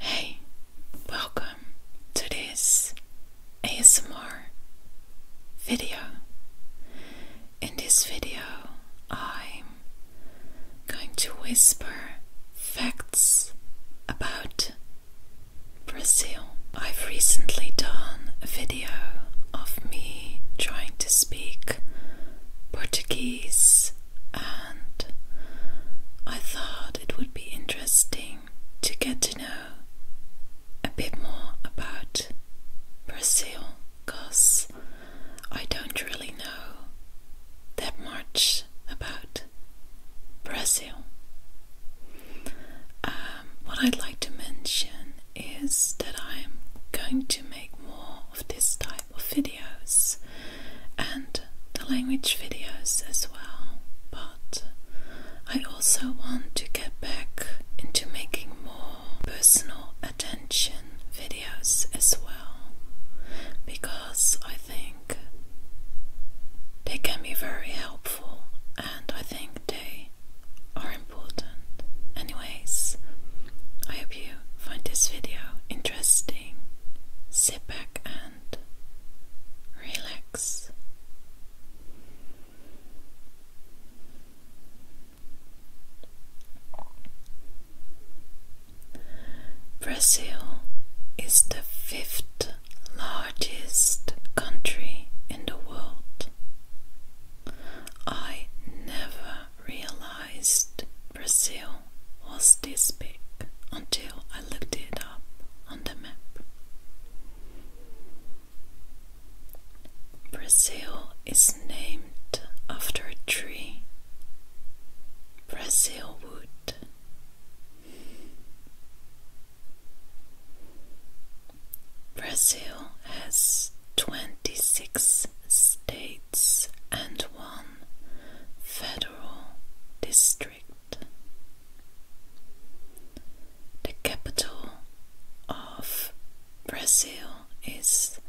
Hey, welcome to this ASMR video. In this video, I'm going to whisper facts about Brazil. I've recently done a video of me trying to speak Portuguese and I thought it would be interesting to get to know a bit more about Brazil because I don't really know that much about Brazil. Um, what I'd like to mention is that I'm going to make more of this type of videos and the language videos as well. But I also want to get back into making more personal attention videos as well because I think they can be very helpful and I think they are important. Anyways, I hope you find this video interesting sit back and relax. Brazil is the fifth largest country in the world. I never realized Brazil was this big until I looked it up on the map. Brazil is named after a tree, Brazil Brazil has 26 states and one Federal District. The capital of Brazil is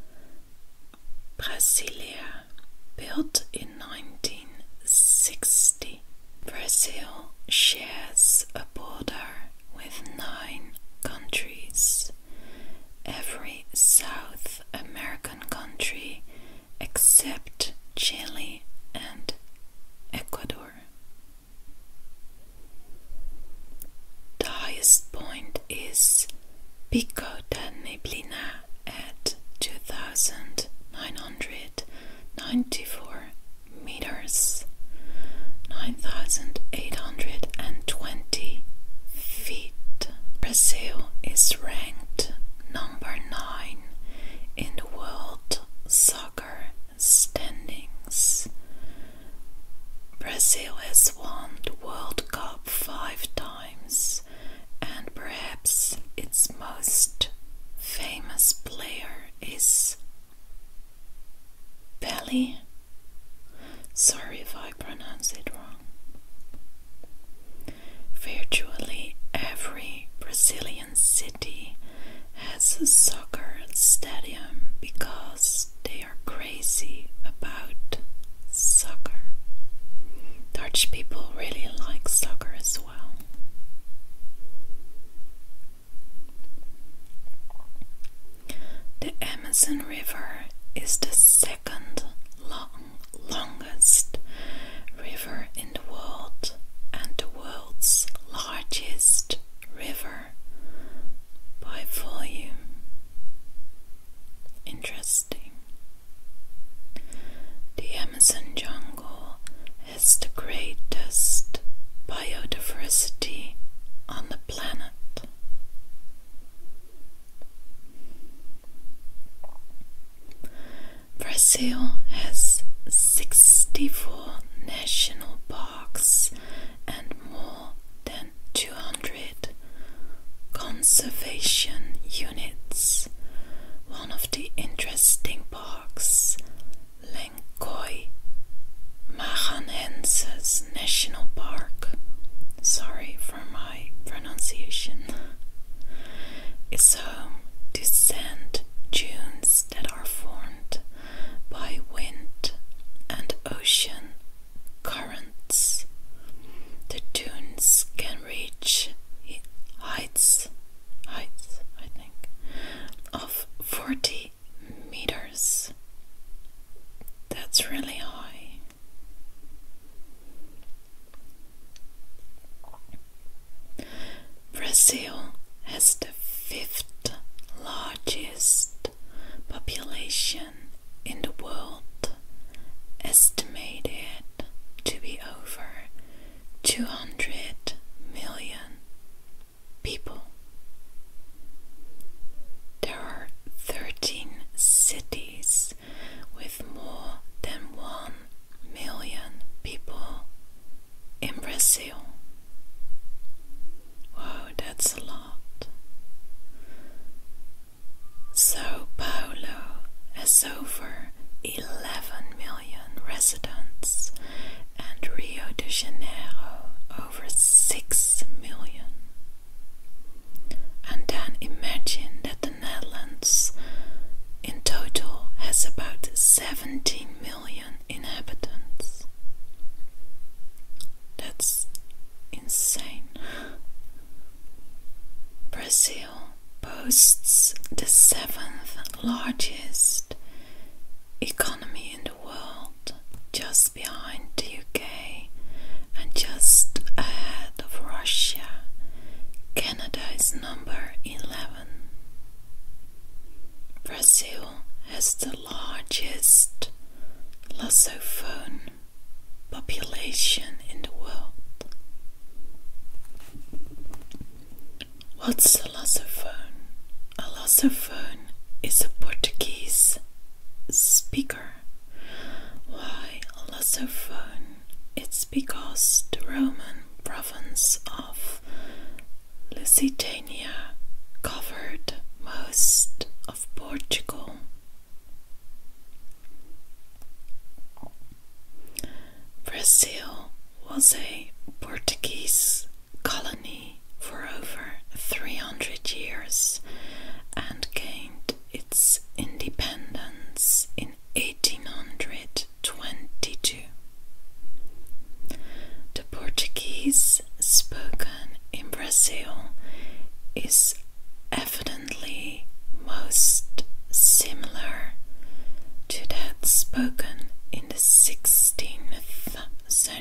Brasilia, built in 1960. Brazil shares a border with nine countries every South American country except Chile and Ecuador. The highest point is Pico da Neblina at 2,994 meters, 9,820 feet. Brazil is ranked number 9 in the world soccer standings. Brazil has won the World Cup five times, and perhaps its most famous player is Pelé. Sorry if I pronounce it wrong. Virtually every Brazilian city has a soccer stadium because they are crazy about soccer. Dutch people really like soccer as well. The Amazon River is the second longest river in the world and the world's largest river by volume. Interesting. The Amazon jungle has the greatest biodiversity on the planet. Brazil has 64 national parks and more than 200 conservation units. One of the interesting parks, Lencoy Maranhenses National Park. Sorry for my pronunciation. It's home to sand dunes that are formed by wind and ocean currents. The dunes can reach heights, heights, I think, of 40 meters. That's really high. Brazil has the fifth largest population in the world, estimated to be over 200 million people. There are 13 cities with more than 1 million people in Brazil. Wow, that's a lot. Sao Paulo has over 11 million residents and Rio de Janeiro over 6 million. And then imagine that the Netherlands in total has about 17 million inhabitants. That's insane. Brazil boasts the seventh largest economy in the world, just behind the UK and just ahead of Russia. Canada is number 11. Brazil has the largest Lassophone population in the world. What's a Lassophone? A lusophone is a Portuguese speaker. Why a lusophone? It's because the Roman province of Lusitania covered most of Portugal. Brazil was a Portuguese colony for over 300 years and gained its independence in 1822. The Portuguese spoken in Brazil is evidently most similar to that spoken in the 16th century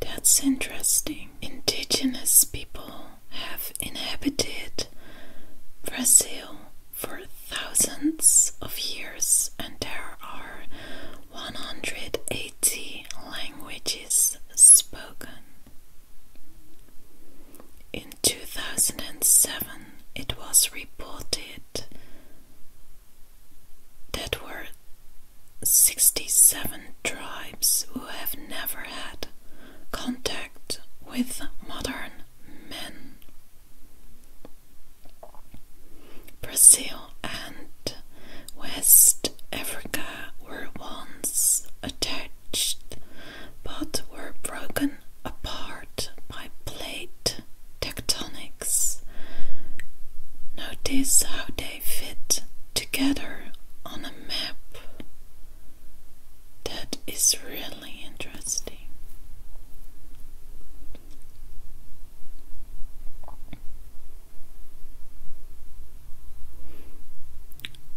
that's interesting. Indigenous people have inhabited Brazil for thousands of years, and there are 180 languages spoken. In 2007, it was reported that were 67 tribes who have never had contact with modern men. Brazil and West Africa were once attached but were broken apart by plate tectonics. Notice how they fit together on a map. That is really interesting.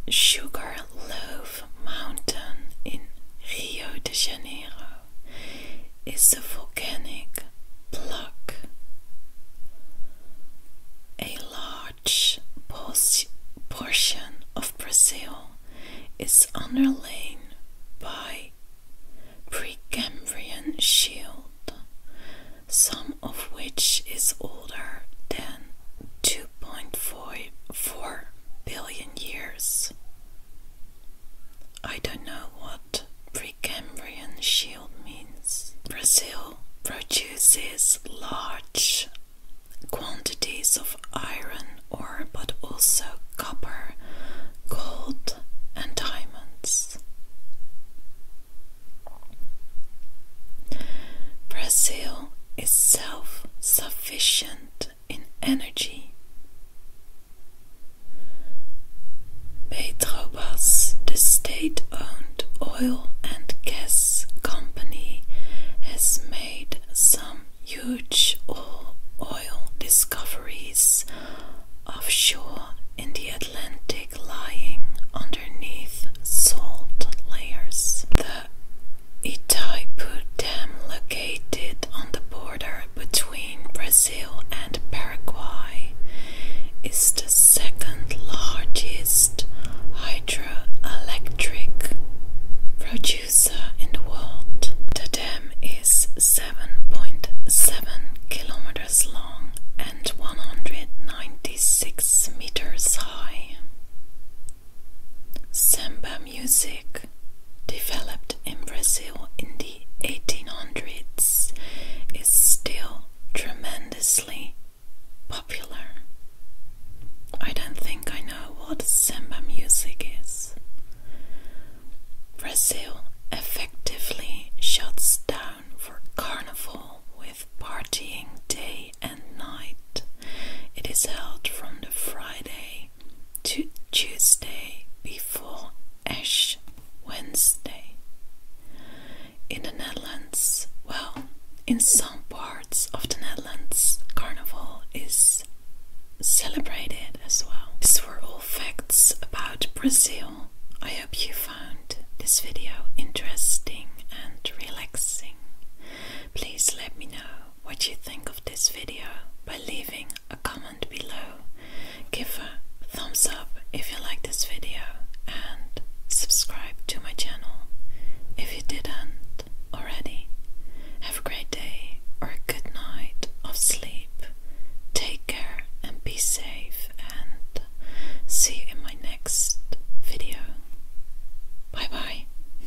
Sugarloaf Mountain in Rio de Janeiro is a volcanic plug, a large portion of Brazil is underlain by Precambrian shield, some of which is older than 2.44 billion years. I don't know what Precambrian shield means. Brazil produces large quantities of iron ore but also copper, gold, and diamonds. Brazil is self sufficient in energy. Petrobras, the state-owned oil and gas company, has made some huge oil discoveries offshore in the Atlantic lying underneath salt layers. The Itaipu Dam, located on the between Brazil and Paraguay is the second largest hydroelectric producer in the world. The dam is 7.7 kilometers long and 196 meters high. Samba music developed in Brazil in the 1800s is still tremendously popular. I don't think I know what samba music is. Brazil effectively shuts down for carnival with partying day and night. It is held from the Friday to Tuesday before Ash Wednesday. In the Netherlands, well, in some parts of the Netherlands, Carnival is celebrated as well. These were all facts about Brazil. I hope you found this video interesting and relaxing. Please let me know what you think of this video by leaving a comment below. Give a thumbs up if you like this video and subscribe to my channel if you didn't already. Have a great day or a good night of sleep. Take care and be safe and see you in my next video. Bye bye.